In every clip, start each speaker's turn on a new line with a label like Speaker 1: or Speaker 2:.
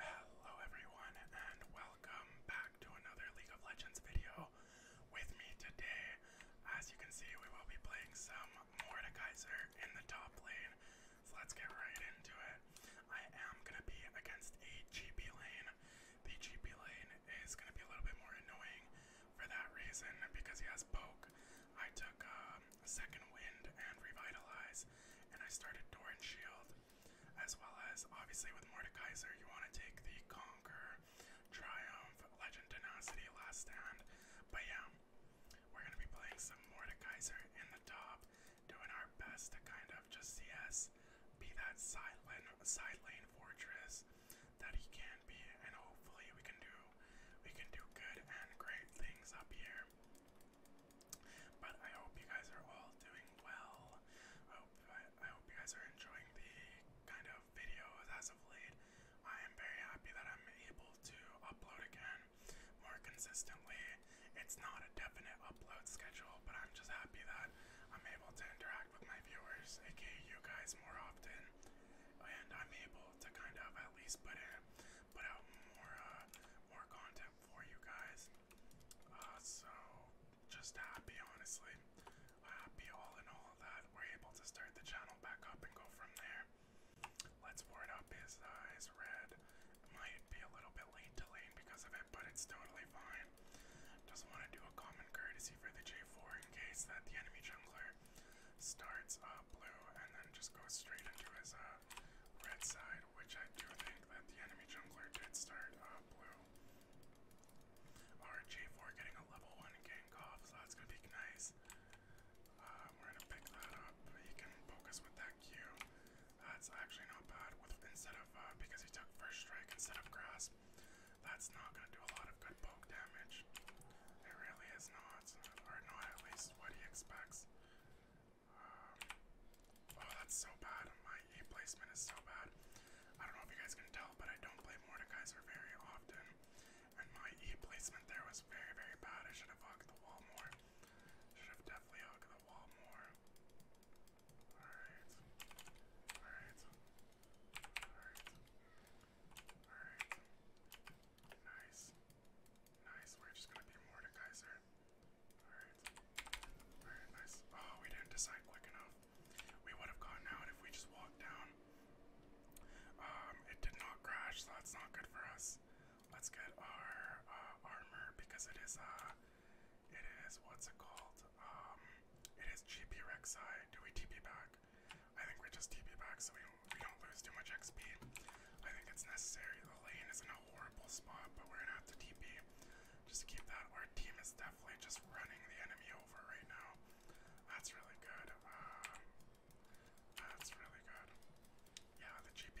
Speaker 1: Hello everyone and welcome back to another League of Legends video with me today. As you can see, we will be playing some Mordekaiser in the top lane. So let's get right into it. I am gonna be against a GP lane. The GP lane is gonna be a little bit more annoying for that reason because he has poke. I took um, a second wind and revitalize and I started Doran Shield, as well as obviously with Mordekaiser, you want to take the Conquer, Triumph, Legend Tenacity, Last Stand. But yeah, we're going to be playing some Mordekaiser in the top, doing our best to kind of just CS, be that side lane fortress that he can be, and hopefully we can do we can do good and great things up here. But I hope you guys are all doing well. I hope, I, hope you guys are enjoying the kind of videos as of late. I am very happy that I'm able to upload again more consistently. It's not a definite upload schedule, but I'm just happy that I'm able to interact with my viewers, aka you guys, more often. And I'm able to kind of at least put in, put out more, uh, more content for you guys. Uh, so just happy, honestly. Happy all in all that we're able to start the channel back up and go from there. Let's ward up his eyes his red. Might be a little bit late to lane because of it, but it's totally fine. Just want to do a common courtesy for the J4 in case that the enemy jungler starts uh, blue and then just goes straight into his uh, red side which I do think that the enemy jungler did start uh, blue. Our 4 getting a level 1 gank so that's gonna be nice. Uh, we're gonna pick that up. He can focus with that Q. That's actually not bad. With instead of uh, because he took first strike instead of grasp, that's not gonna do a lot of good poke damage. It really is not, or not at least what he expects. Um, oh, that's so bad. My E placement is so bad. I don't know if you guys can tell, but I don't play Mordekaiser very often. And my E placement there was very, very bad. I should have hugged the wall more. Should have definitely hugged the wall more. Alright. Alright. Alright. Alright. Nice. Nice. We're just gonna be Mordekaiser. Alright. Alright, nice. Oh, we didn't decide quick enough. We would have gone out if we just walked down. Um, it did not crash, so that's not good for us. Let's get our uh, armor because it is uh it is what's it called? Um it is GPXI. Do we TP back? I think we just TP back so we don't we don't lose too much XP. I think it's necessary. The lane isn't horrible spot, but we're gonna have to TP just keep that. Our team is definitely just running the enemy over right now. That's really good. Um, that's really good. Yeah, the GP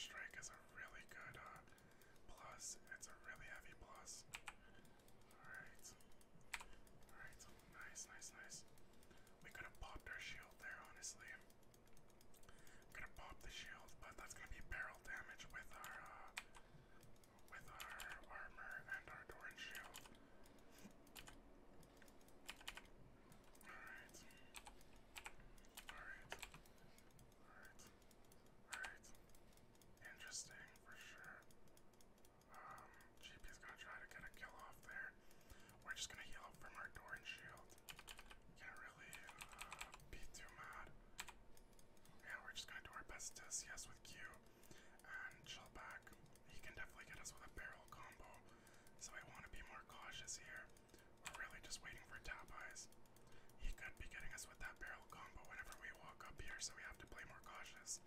Speaker 1: strike is a really good uh, plus. It's a really heavy plus. Alright. Alright, nice, nice, nice. We could have popped our shield there, honestly gonna pop the shield, but that's gonna be barrel damage with our uh, with our armor and our Doran shield. Alright. Alright. Alright. Alright. Interesting for sure. Um, GP's gonna try to get a kill off there. We're just gonna heal from our door and shield. Can't really uh, be too mad. Yeah, we're just gonna do our best to CS with Q and chill back. He can definitely get us with a barrel combo, so I want to be more cautious here.
Speaker 2: We're really just waiting for tap eyes. He could be getting us with that barrel combo whenever we
Speaker 1: walk up here, so we have to play more cautious.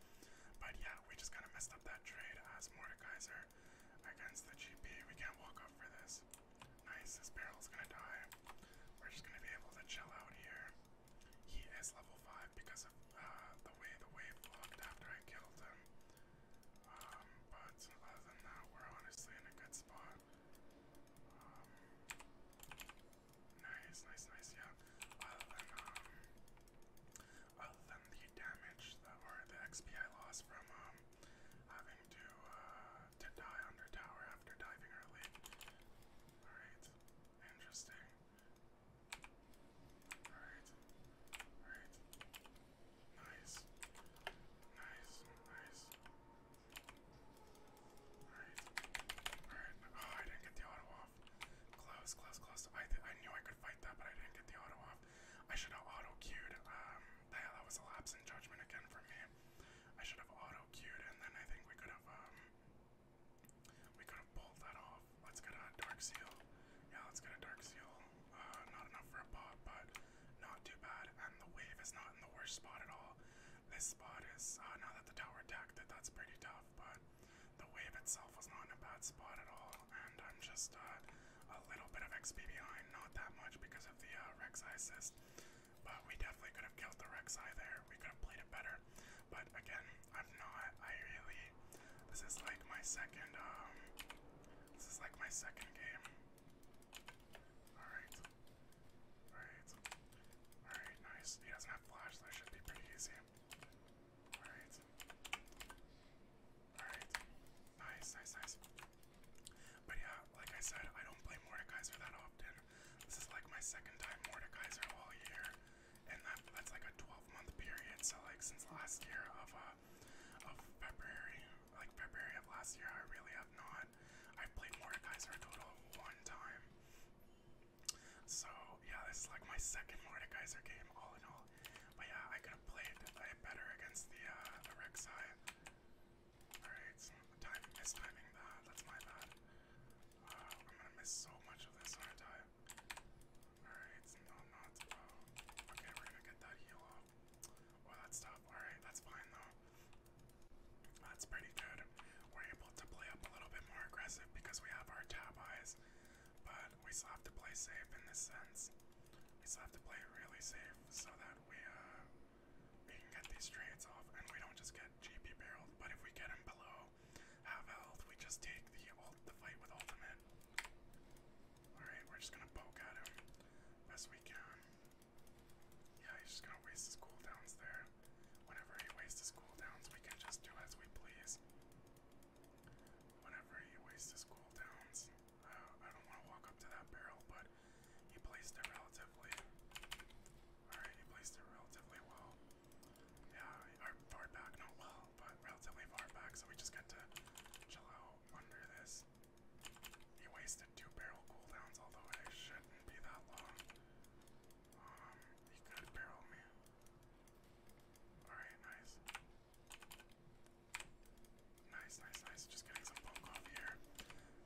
Speaker 1: But yeah, we just kind of messed up that trade as Mordekaiser against the GP. We can't walk up for this. Nice, this barrel's gonna die. We're just gonna be able to chill out here. He is level 5 because of
Speaker 2: uh, the way the wave looked after I killed him. Um, but
Speaker 1: other than that, we're honestly in a good spot. Um, nice, nice, nice, yeah. Other than, um, other than the damage that, or the XP I lost from, having to uh, to die under tower after diving early. All right, interesting. All right, all
Speaker 2: right, nice, nice, nice.
Speaker 1: Alright. Alright. Oh, I didn't get the auto off. Close, close, close. I, I knew I could fight that, but I didn't get the auto off. I should have auto queued. Um, that was a lapse in judgment again from me. I should have auto queued, and then I think we could have um, we could have pulled that off. Let's get a dark seal. Yeah, let's get a dark seal. Uh, not enough for a pop, but not too bad. And the wave is not in the worst spot at all. This spot is uh, now that the tower attacked it, that's pretty tough. But the wave itself was not in a bad spot at all and I'm just uh, a little bit of XP behind, not that much because of the uh, assist. But we definitely could have killed the Rek'Sai there. We could have played it better. But again, I'm not. I really. This is like my second. Um, this is like my second game. All right. All right. All right. Nice. He doesn't have flash. So that should be pretty easy. All right. Alright. Nice, nice, nice. But yeah, like I said, I don't play Mordekaiser that often. This is like my second time Mordekaiser all year. And that, that's like a 12 month period. So like since last year of uh of February, like February of last year, I really have not. I played Mordekaiser a total of one time. So yeah, this is like my second Mordekaiser game all in all. But yeah, I could have played better against the uh, the Rek'Sai. Alright, so time mistiming that. That's my bad. Uh, I'm gonna miss so much of this, aren't I? Alright, no, not. Oh, okay, we're gonna get that heal off. Well, that's tough. Alright, that's fine though. That's pretty good. We're able to play up a little bit more aggressive because we have our tab eyes. But we still have to play safe in this sense. We still have to play really safe so that we uh we can get these trades off and we don't just get GP barreled. But if we get him below half health, we just take the ult the fight with ultimate. Alright, we're just gonna poke at him best we can. Yeah, he's just gonna waste his cooldowns there. Whenever he wastes his cooldowns, we can just do as we please. Whenever he wastes his cooldowns. I don't want to walk up to that barrel, but he placed it relatively. Alright, he placed it relatively well. Yeah, far back, not well, but relatively far back, so we just get to chill out under this. He wasted two barrel cooldowns, although it shouldn't be that long. Um, he could barrel me. Alright, nice. Nice, nice, nice. Just getting some poke off here.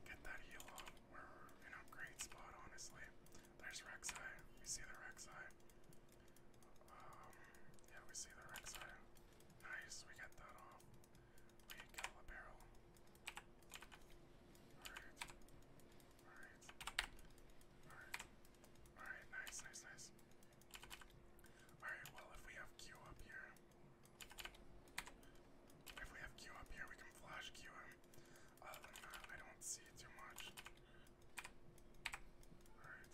Speaker 1: Get that heal up. We're in a great spot, honestly. There's Rek'Sai. We see the Rek'Sai. Um, yeah, we see the Rek'Sai. Nice, we get that off. We kill the barrel. Alright.
Speaker 2: Alright. Alright. Alright, nice, nice, nice.
Speaker 1: Alright, well, if we have Q up here. If we have Q up here, we can flash Q him. Other than that, I don't see too much. Alright.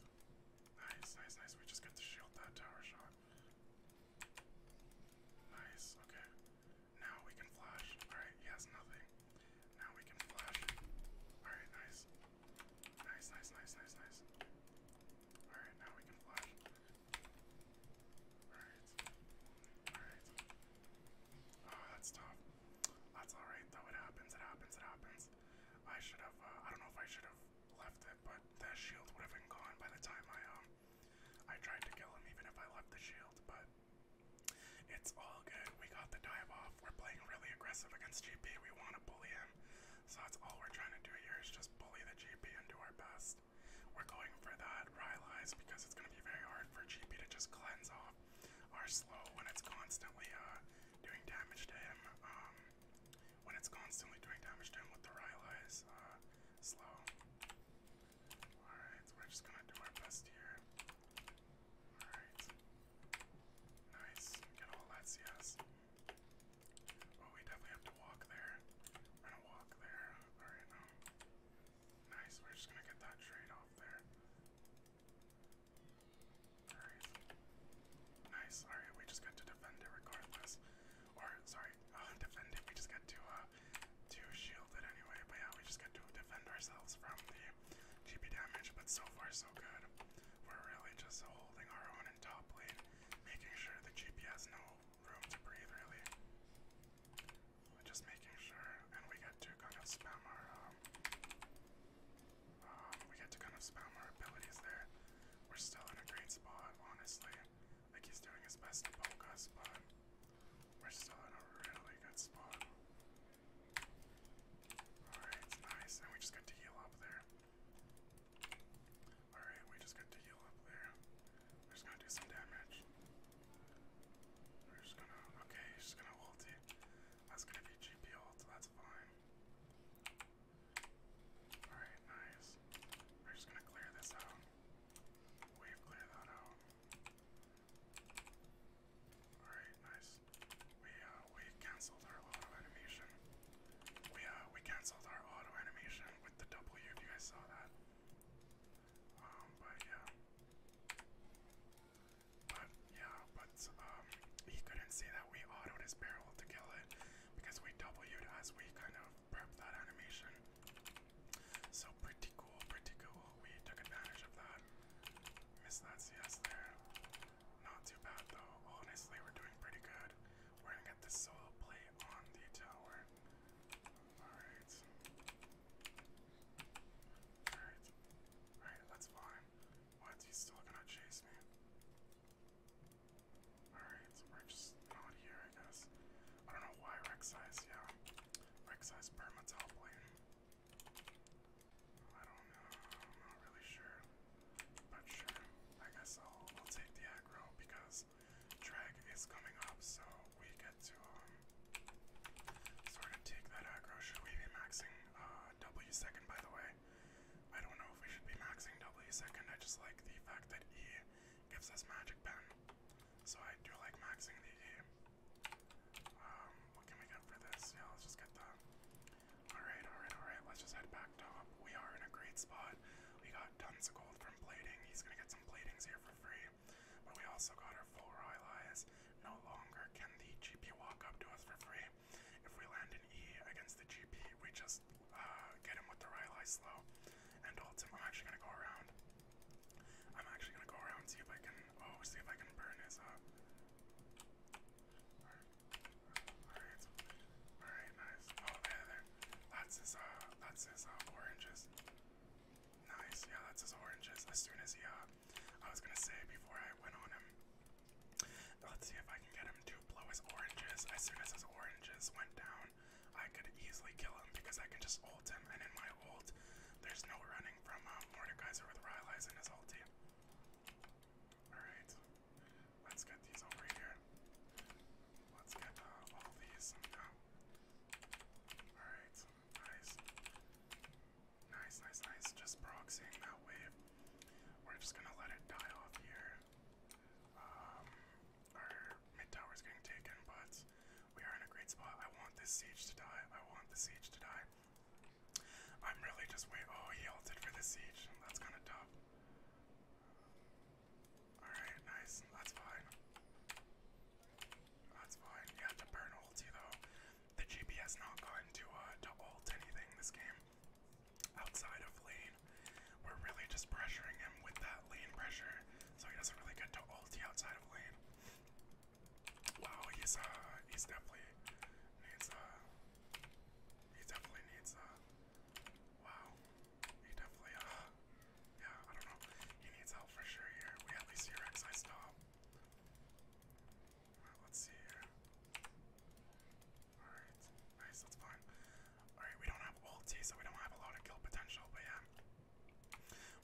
Speaker 1: Nice, nice, nice. We just got to shield that tower shot. Nice, okay. Now we can flash. Alright, he has nothing. Now we can flash. Alright, nice. Nice, nice, nice, nice, nice. Alright, now we can flash. Alright. Alright. Oh, that's tough. That's alright though, it happens, it happens, it happens. I should have, uh, I don't know if I should have left it, but that shield would have been gone by the time I, um, I tried to kill him even if I left the shield, but it's all good. We got the dive off. We're playing really aggressive against GP. We want to bully him. So that's all we're trying to do here is just bully the GP and do our best. We're going for that Rylai's because it's going to be very hard for GP to just cleanse off our slow when it's constantly uh, doing damage to him. Um, when it's constantly doing damage to him with the Rylai's uh, slow. Alright, we're just going to do our best here. Alright. Nice. Get all that CS. Oh, we definitely have to walk there. We're gonna walk there. Alright, no. Nice, we're just gonna get that trade off there. Alright. Nice, alright, we just get to defend it regardless. Or, sorry, uh, defend it, we just get to, uh, to shield it anyway. But yeah, we just get to defend ourselves from the GP damage, but so far so good. We're really just holding our own zone making sure the GP no room to breathe really. Just making sure, and we get to kind of spam our, um, um, we get to kind of spam our abilities there. We're still in a great spot, honestly. Like he's doing his best to poke us, but we're still in a really good spot. Alright, nice, and we just got to heal up there. Alright, we just got to heal up there. We're just gonna do some damage. We're just gonna. Okay, she's gonna ulti. That's gonna be GP ult, that's fine. Alright, nice. We're just gonna clear this out. Wave clear that out. Alright, nice we uh, we cancelled our auto animation. We uh we cancelled our auto animation with the W if you guys saw that. Um but yeah. But yeah, but um he couldn't see that we autoed his barrel to kill it because we W'd as we kind of prepped that animation. So pretty cool, pretty cool. We took advantage of that. Missed that CS there. Not too bad though. Honestly, we're doing pretty good.
Speaker 2: We're gonna get the soil plate on the tower. Alright.
Speaker 1: Alright. Alright, that's fine. What? He's still gonna chase me. Alright, we're just not here, I guess. I don't know why Rexize, yeah. Rexize perma top lane. I don't know. I'm not really sure. But sure, I guess I'll, take the aggro because drag is coming up, so we get to um, sort of take that aggro. Should we be maxing uh, W second by the way? I don't know if we should be maxing W second. I just like the fact that E gives us magic pen. So I do like maxing the E. Um, what can we get for this? Yeah, let's just get the Alright, alright, alright. Let's just head back top. We are in a great spot. We got tons of gold from plating. He's gonna get some platings here for free. But we also got our full royal eyes. No longer can the GP walk up to us for free. If we land an E against the GP, we just uh, get him with the royal eye slow. And ultim, I'm actually gonna go around. I'm actually gonna go around see if I can. Oh, see if I can burn his. Uh, Alright, alright, nice. Oh, there, there. That's his, uh, that's his, uh, oranges. Nice, yeah, that's his oranges. As uh, soon as he, uh, I was gonna say before I went on uh, him, let's see if I can get him to blow his
Speaker 2: oranges. As soon as his oranges went down, I could easily kill him because I can just ult him.
Speaker 1: And in my ult, there's no running from uh, Mordekaiser with Rylai's in his ulti. Alright, Let's get these over here. Let's get uh, all these. Uh, alright, nice. Nice, nice, nice. Just proxying that wave. We're just gonna let it die off here. Um, our mid tower's getting taken, but we are in a great spot. I want this siege to die. I want the siege to die. I'm really just wait. Oh, he ulted for the siege. That's kind of tough. Alright, nice. That's fine. That's fine. You have to burn ulti, though. The GPS not going to, uh, to ult anything this game. Outside of lane, we're really just pressuring him with that lane pressure, so he doesn't really get to ulti outside of lane. Wow, he's, uh, he's definitely needs, uh, he definitely needs uh wow. He definitely uh yeah, I don't know. He needs help for sure here. We at least hear X I stop. Alright, let's see here.
Speaker 2: Alright, nice, that's fine. Alright, we don't have ulti, so
Speaker 1: we don't have a lot of kill potential, but yeah.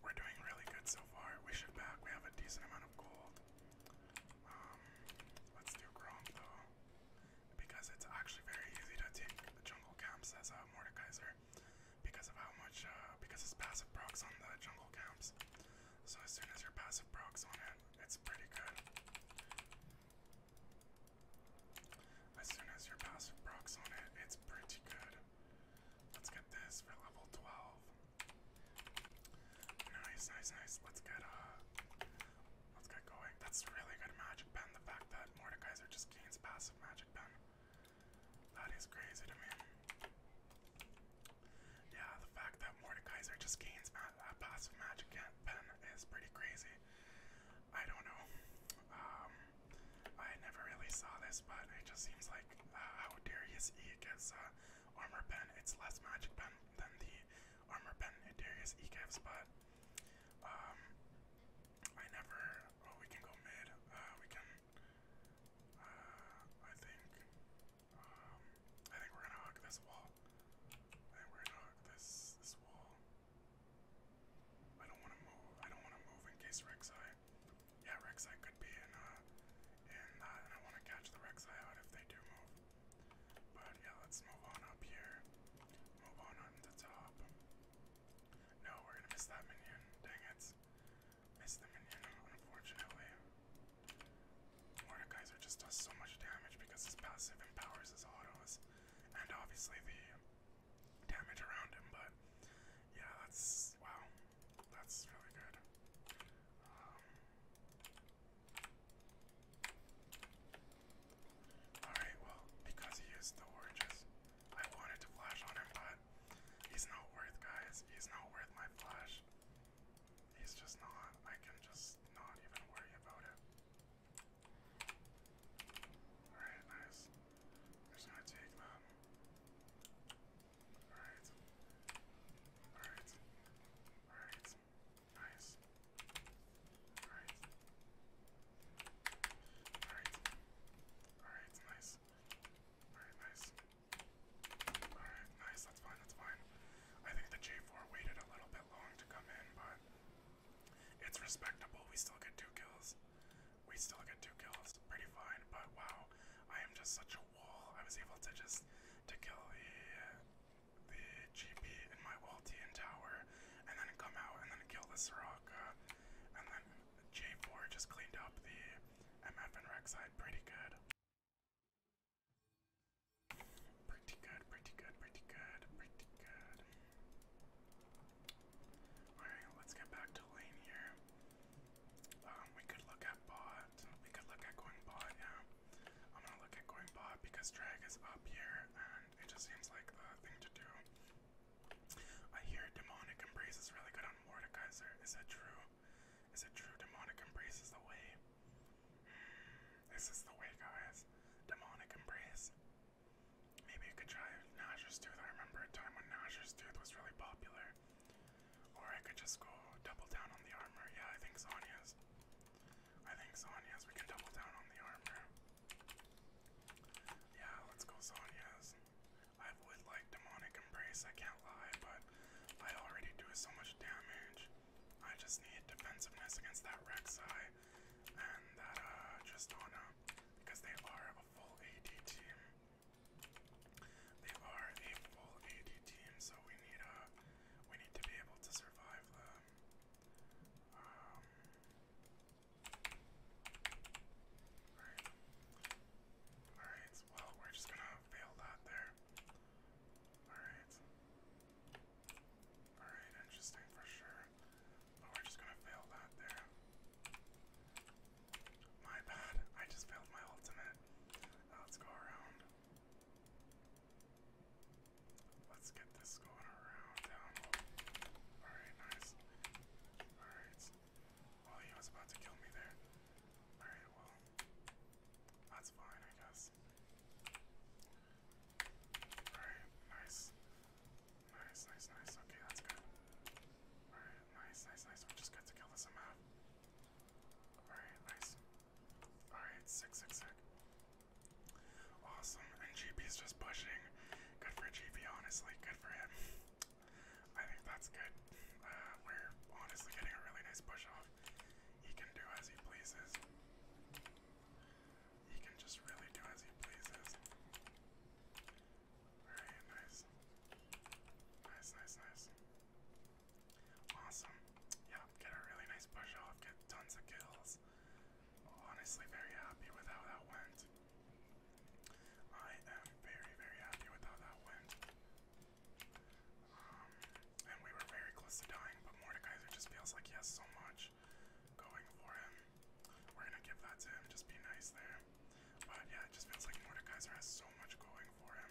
Speaker 1: We're doing really good so far. We should back. We have a decent amount of gold. Um, let's do Gromp though, because it's actually very easy to take the jungle camps as a uh, because of how much, uh, because it's passive procs on the jungle camps. So as soon as your passive procs on it, it's pretty good. As soon as your passive procs on it, it's pretty good. Let's get this for level 12. Nice, nice, nice. Let's get uh let's get going. That's really good magic pen. The fact that Mordekaiser just gains passive magic pen. That is crazy to me. Yeah, the fact that Mordekaiser just gains ma uh, passive magic pen is pretty crazy. I don't know. Um, I never really saw this, but it just seems like uh, how Darius E gets uh, armor pen. It's less magic pen, than the armor pen Adarius Ecav spot. Um, I never. Oh, we can go mid. Uh, we can. Uh, I think. Um, I think we're gonna hug this wall. I think we're gonna hug this this wall. I don't want to move. I don't want to move in case Rek'Sai.
Speaker 2: Yeah, Rek'Sai could be in uh, uh and I want to catch the Rek'Sai out if
Speaker 1: they do move. But yeah, let's move on up here. Move on on the top. No, we're gonna miss that minion. Dang it. Missed the minion, unfortunately. Mordekaiser just does so much damage because his passive empowers his autos. And obviously the damage around him, but yeah, that's wow. That's really good. Um, Alright, well, because he used the oranges, I wanted to flash on him, but he's not worth, guys. He's not worth my flash. He's just not. I can just not even worry about it. Alright, nice. We're just take them. Alright.
Speaker 2: Alright. Alright. Nice. Alright. Alright. Alright, nice.
Speaker 1: Alright, nice. Alright, nice, that's fine, that's fine. I think the J4 waited a little bit long to come in, but it's respectable. We still get two kills. We still get two kills. Pretty fine, but wow, I am just
Speaker 2: such a I was able to just to kill the the GP in
Speaker 1: my Waltian tower, and then come out and then kill the Soraka, uh, and then J4 just cleaned up the MF and Rex side pretty good. Pretty good, pretty good, pretty good, pretty good. Alright, let's get back to lane here. Um, we could look at bot. We could look at going bot, yeah. I'm gonna look at going bot because drag is up here and it just seems like the thing to do. I hear demonic embrace is really good on Mordekaiser. Is it true? Is it true demonic embrace is the way? Hmm, this is the way, guys. Demonic embrace. Maybe you could try Nasher's Tooth. I remember a time when Nasher's Tooth was really popular. Or I could just go double down on the armor. Yeah, I think Sonya's. I think Sonya's. We can double down on the armor. Yeah, let's go Sonya's. I would like Demonic Embrace, I can't lie, but I already do so much damage. I just need defensiveness against that Rek'Sai and that uh, Tristana, because they are a full AD team. They are a full AD team, so we need uh we need to be able to survive them. Um, Alright. Alright, well, we're just gonna fail that there. Alright. Alright, interesting for sure. But we're just gonna fail that there. My bad, I just failed my ultimate. let's go around. Let's get this going around down low. Alright, nice. Alright. Well, oh, he was about to kill me there. Alright, well, that's fine, I guess. Alright, nice. Nice, nice, nice. Okay, that's good. Alright, nice, nice, nice. We just got to kill this amount. Alright, nice. Alright, sick, Awesome, and GP's just pushing. Good for GP, honestly. Good for him. I think that's good. Uh, we're honestly getting a really nice push off. He can do as he pleases. He can just really do as he pleases. Alright, nice. Nice, nice, nice. Awesome. Yeah, get a really nice push off, get tons of kills. Honestly, very happy with how that went. I am very, very happy with how that went. Um, and we were very close to dying, but Mordekaiser just feels like he has so much going for him. We're gonna give that to him, just be nice there. But yeah, it just feels like Mordekaiser has so much going for him.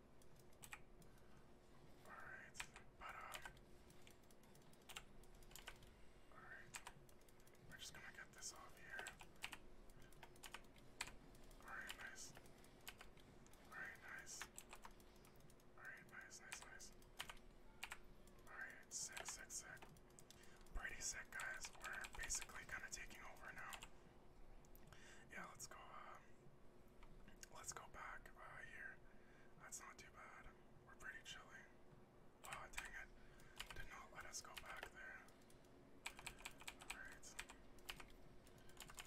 Speaker 1: Alright, but uh Alright. We're just gonna get this off here. Alright, nice. Alright, nice. Alright, nice, nice, nice. Alright, sick, sick, sick. Pretty sick guys. We're basically kinda taking over now. Yeah, let's go. Uh, let's go back uh, here. That's not too bad. We're pretty chilly. Oh, dang it. Did not let us go back there. Alright.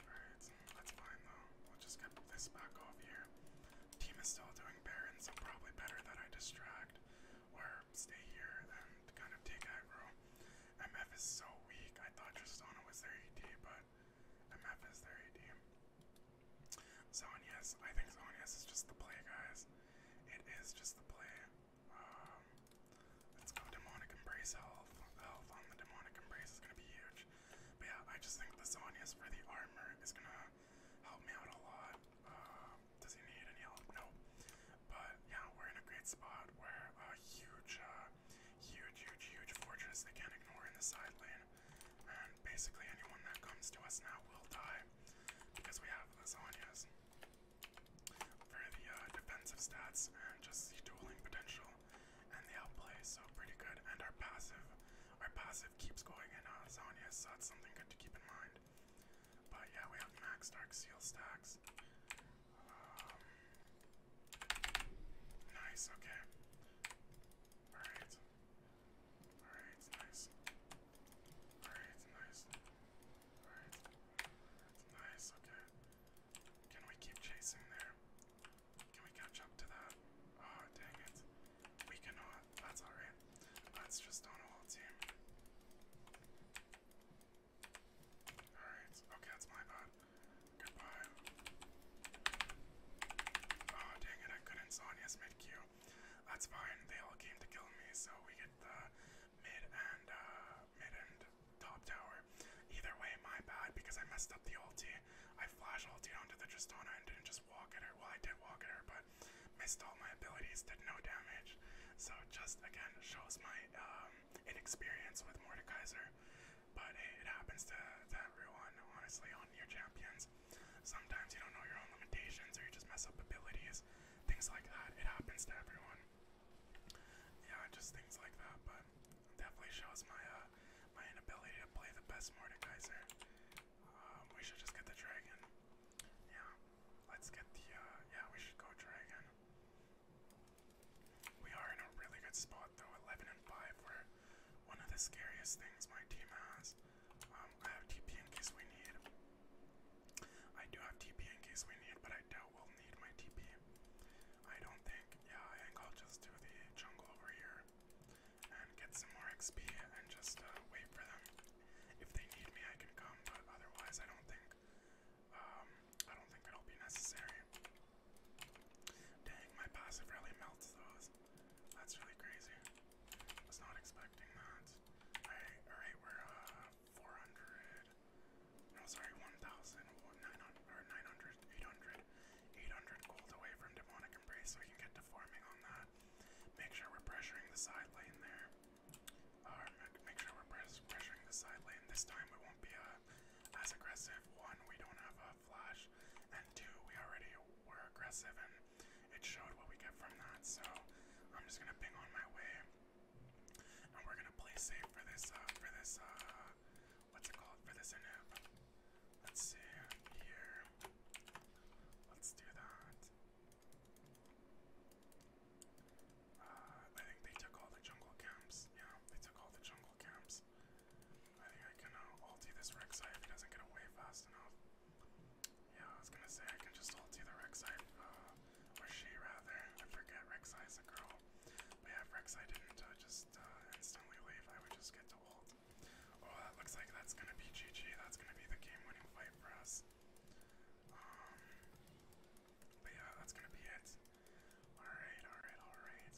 Speaker 1: Alright, that's fine though. We'll just get this back off here. Team is still doing Baron, so probably better that I distract or stay here and kind of take aggro. MF is so weak. I thought Tristana was their AD, but MF is their AD. Zonias, I think Zonias is just the play, guys. It is just the play. Um, let's go Demonic Embrace health. Health on the Demonic Embrace is gonna be huge. But yeah, I just think the Zonias for the armor is gonna help me out a lot. Uh, does he need any help? No. But yeah, we're in a great spot. We're a huge, uh, huge, huge, huge fortress they can't ignore in the side lane. And basically anyone that comes to us now will die because we have lasagnas for the uh, defensive stats and just the dueling potential and the outplay, so pretty good. And our passive, our passive keeps going in uh, so that's something good to keep in mind. But yeah, we have max dark seal stacks. Um, nice, okay. Alright. Alright, nice. Alright, nice. Alright. Nice, okay. Can we keep chasing there? Can we catch up to that? Oh, dang it. We cannot. That's alright. That's just on a whole team. Alright, okay, that's my bad. Goodbye. Oh, dang it, I couldn't Sonya's mid Q. That's fine, they all came to kill me, so we get the mid and, uh, mid and top tower. Either way, my bad, because I messed up the ulti. I flash ulti onto the Tristana and didn't just walk at her. Well, I did walk at her, but missed all my abilities, did no damage. So just, again, shows my, um, inexperience with Mordekaiser. But it happens to, to everyone, honestly, on your champions. Sometimes you don't know your own limitations or you just mess up abilities, things like that. It happens to everyone. Yeah, just things like that, but definitely shows my uh, my inability to play the best Mordekaiser. Um, we should just get the dragon. Yeah, let's get the, uh, yeah, we should go dragon. We are in a really good spot though, 11 and 5. we one of the scariest things my team has. Um, I have TP in case we need. I do have TP in case we need, but I doubt we'll need my TP. I don't think. Yeah, I think just do the jungle over here and get some more XP and just uh, wait for them. If they need me, I can come, but otherwise, I don't think um, I don't think it'll be necessary. Dang, my passive really melts those. That's really crazy. Was not expecting that. Alright, alright, we're uh 400. No, sorry, 1,000, 900, or 900, 800, 800 gold away from Demonic Embrace, so we can get to farming on that. Make sure we're pressuring the side lane there make sure we're pressuring the side lane. This time we won't be uh, as aggressive. One, we don't have a flash, and two, we already were aggressive, and it showed what we get from that. So I'm just gonna ping on my way, and we're gonna play safe for this. Uh, for this. Uh, what's it called? For this inhib. Let's see here. Let's do that. Uh, I think they took all the jungle camps. Yeah, they took all the jungle camps. I think I can uh, ulti this Rek'Sai if he doesn't get away fast enough. Yeah, I was gonna say I can just ulti the Rek'Sai, uh, or she rather. I forget Rek'Sai's a girl. But yeah, if Rek'Sai didn't uh, just uh, instantly leave, I would just get to ult. Oh, that looks like that's gonna be GG. That's gonna
Speaker 2: be the game-winning fight for us. Um, but yeah, that's
Speaker 1: gonna be it. Alright, alright, alright.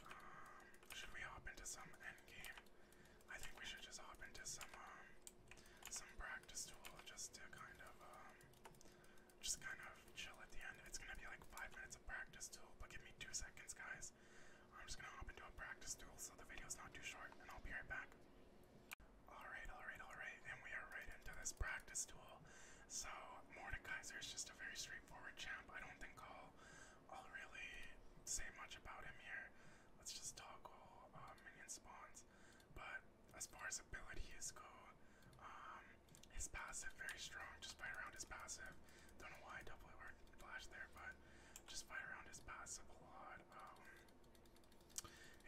Speaker 1: Um, should we hop into some end game? I think we should just hop into some um, some practice tool just to kind of um, just kind of chill at the end. It's gonna be like five minutes of practice tool, but give me two seconds guys. I'm just gonna hop into a practice tool so the video's not too short and I'll be right back. Alright, alright, alright, and we are right into this practice tool. So, Mordekaiser is just a very straightforward champ. I don't think I'll, I'll really say much about him here. Let's just toggle uh,
Speaker 2: minion spawns. But as far as abilities go, um, his
Speaker 1: passive very strong. Just fight around his passive. Don't know why I double or flash there, but just fight around his passive a lot. Um,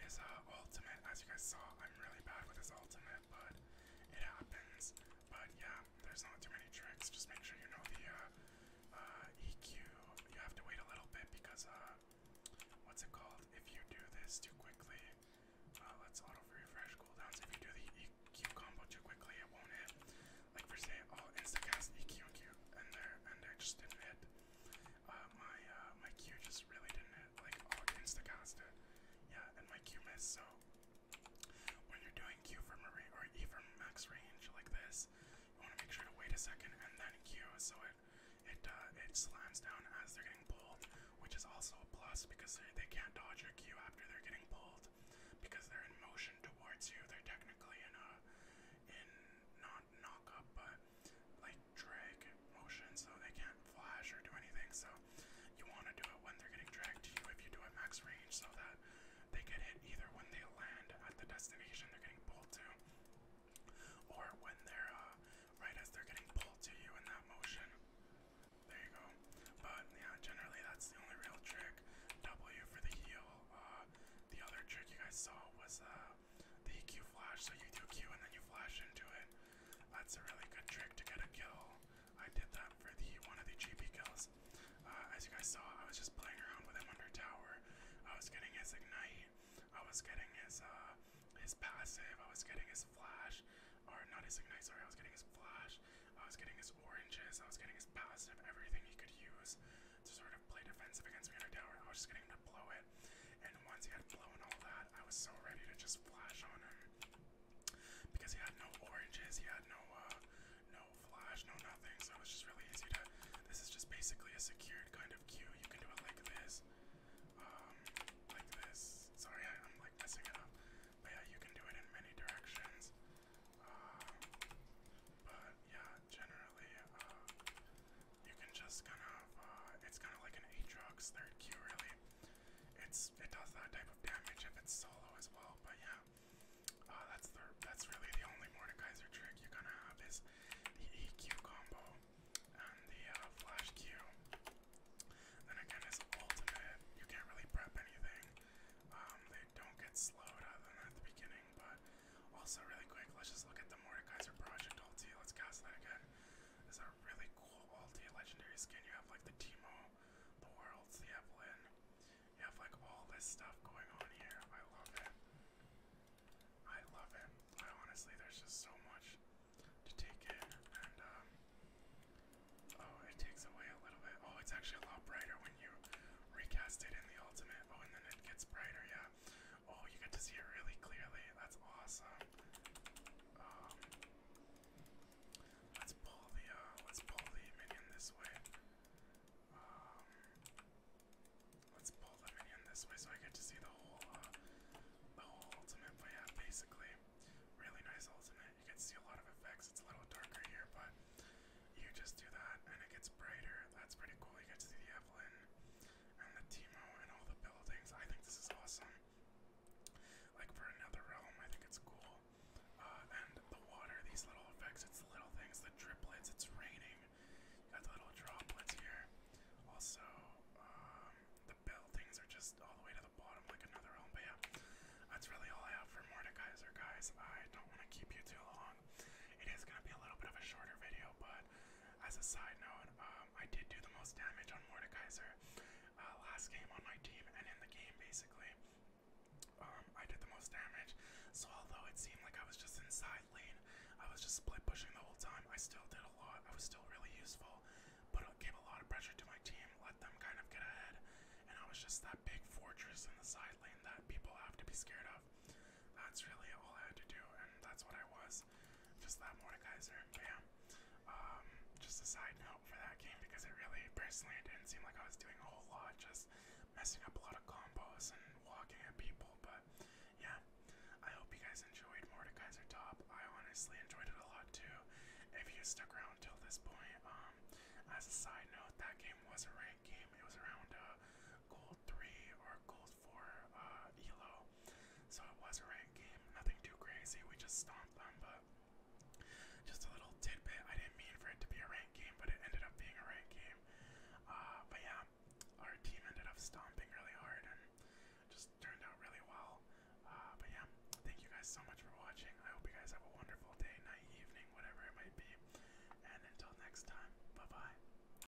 Speaker 1: his uh, ultimate, as you guys saw, I'm really bad with this ultimate, but it happens. But yeah, there's not too many tricks. Just make sure you know the uh, uh, EQ. You have to wait a little
Speaker 2: bit because, uh, what's it called? If you do this too quickly, uh, let's
Speaker 1: auto refresh cooldowns. If you do the EQ combo too quickly, it won't hit. Like for say, i oh, instant cast EQ and Q, and there, and I just didn't hit. Uh, my uh, my Q just really didn't hit like all against the Costa. Yeah, and my Q missed. So when you're doing Q for Marie or E for max range like this, you want to make sure to wait a second and then Q, so it it uh, it slams down as they're getting pulled, which is also a plus because they can't dodge your Q after they're getting pulled because they're in motion towards you. They're technically in a in not knock up, but like drag motion, so they can't flash or do anything. So you want to do it when they're getting dragged to you if you do it max range so that they get hit either when they land at the destination they're getting pulled to or when they're uh, right as they're getting pulled to you in that motion. There you go. But yeah, generally that's the only real trick. W for the heal. Uh, the other trick you guys saw was uh, the EQ flash. So you do Q and then you flash into it. That's a really good trick to get a kill. I did that for the one of the GP kills. Uh, as you guys saw, I was just playing around with him under tower. I was getting his ignite. I was getting his uh, his passive. I was getting his flash, or not his ignite. Sorry, I was getting his flash. I was getting his oranges. I was getting his passive. Everything he could use to sort of play defensive against me under tower. I was just getting him to blow it. And once he had blown all that, I was so ready to just flash on him. Because he had no oranges, he had no uh, no flash, no nothing, so it was just really easy to this is just basically a secured kind of queue. You can do it like this. Um like this. Sorry, I, am like messing it up. But yeah, you can do it in many directions. Um, but yeah, generally, uh, you can just kind of, uh, it's kind of like an Aatrox third Q really. It's It does that type of damage if it's solo as well, but yeah. Uh, that's the that's really the only Mordekaiser trick you're gonna have is the EQ combo and the uh, flash Q. Then again, it's ultimate. You can't really prep anything. Um, they don't get slowed other than at the beginning, but also really quick. Let's just look at the Mordekaiser project ulti. Let's cast that again is a really cool ulti legendary skin. You have like the Timo, the Worlds, the Evelyn. You have like all this stuff going on here. I love it. I love it. I honestly, there's just so much to take in. And, um, oh, it takes away a little bit. Oh, it's actually a lot brighter when you recast it in the ultimate. Oh, and then it gets brighter, yeah. Oh, you get to see it really clearly. That's awesome. Um, let's pull the uh, let's pull the minion this way. Um, let's pull the minion this way so I get to see the whole uh, the whole ultimate. But basically, really nice ultimate. You can see a lot of effects. It's a little darker here, but you just do that and it gets brighter. That's pretty cool. You get to see the Evelyn and the Teemo and all the buildings. I think this is awesome. Like for another realm, I think it's cool. Uh, and the water, these little effects, it's little things, the driplets, it's raining. got little droplets here. Also, um, the buildings are just all the way to the bottom, like another realm. But that's really all I have for Mordekaiser, guys. I don't want to keep you too long. It is going to be a little bit of a shorter video, but as a side note, um, I did do the most damage on Mordekaiser uh, last game on my team and in the game basically. Um, I did the most damage, so although it seemed like I was just inside lane, I was just split pushing the whole time. I still did a lot. I was still really useful, but it gave a lot of pressure to my team. Let them kind of get ahead, and I was just that big fortress in the side lane that people have to be scared of. That's really all I had to do, and that's what I was is just that Mordekaiser. But yeah, um, just a side note for that game because it really, personally, it didn't seem like I was doing a whole lot, just messing up a lot of combos and walking at people. But yeah, I hope you guys enjoyed Mordekaiser Top. I honestly enjoyed it a lot too. If you stuck around till this point, um, as a side note, that game was a ranked game. It was around uh, gold three or gold for uh, Elo, so it was a ranked game.
Speaker 2: Nothing too crazy. We just stomped them, but just a little tidbit. I didn't mean
Speaker 1: for it to be a ranked game, but it ended up being a ranked game. Uh, but yeah, our team ended up stomping really hard and just turned out really well. Uh, but yeah, thank you guys so much for watching. I hope you guys have a wonderful day, night, evening, whatever it might be. And until next time, bye bye.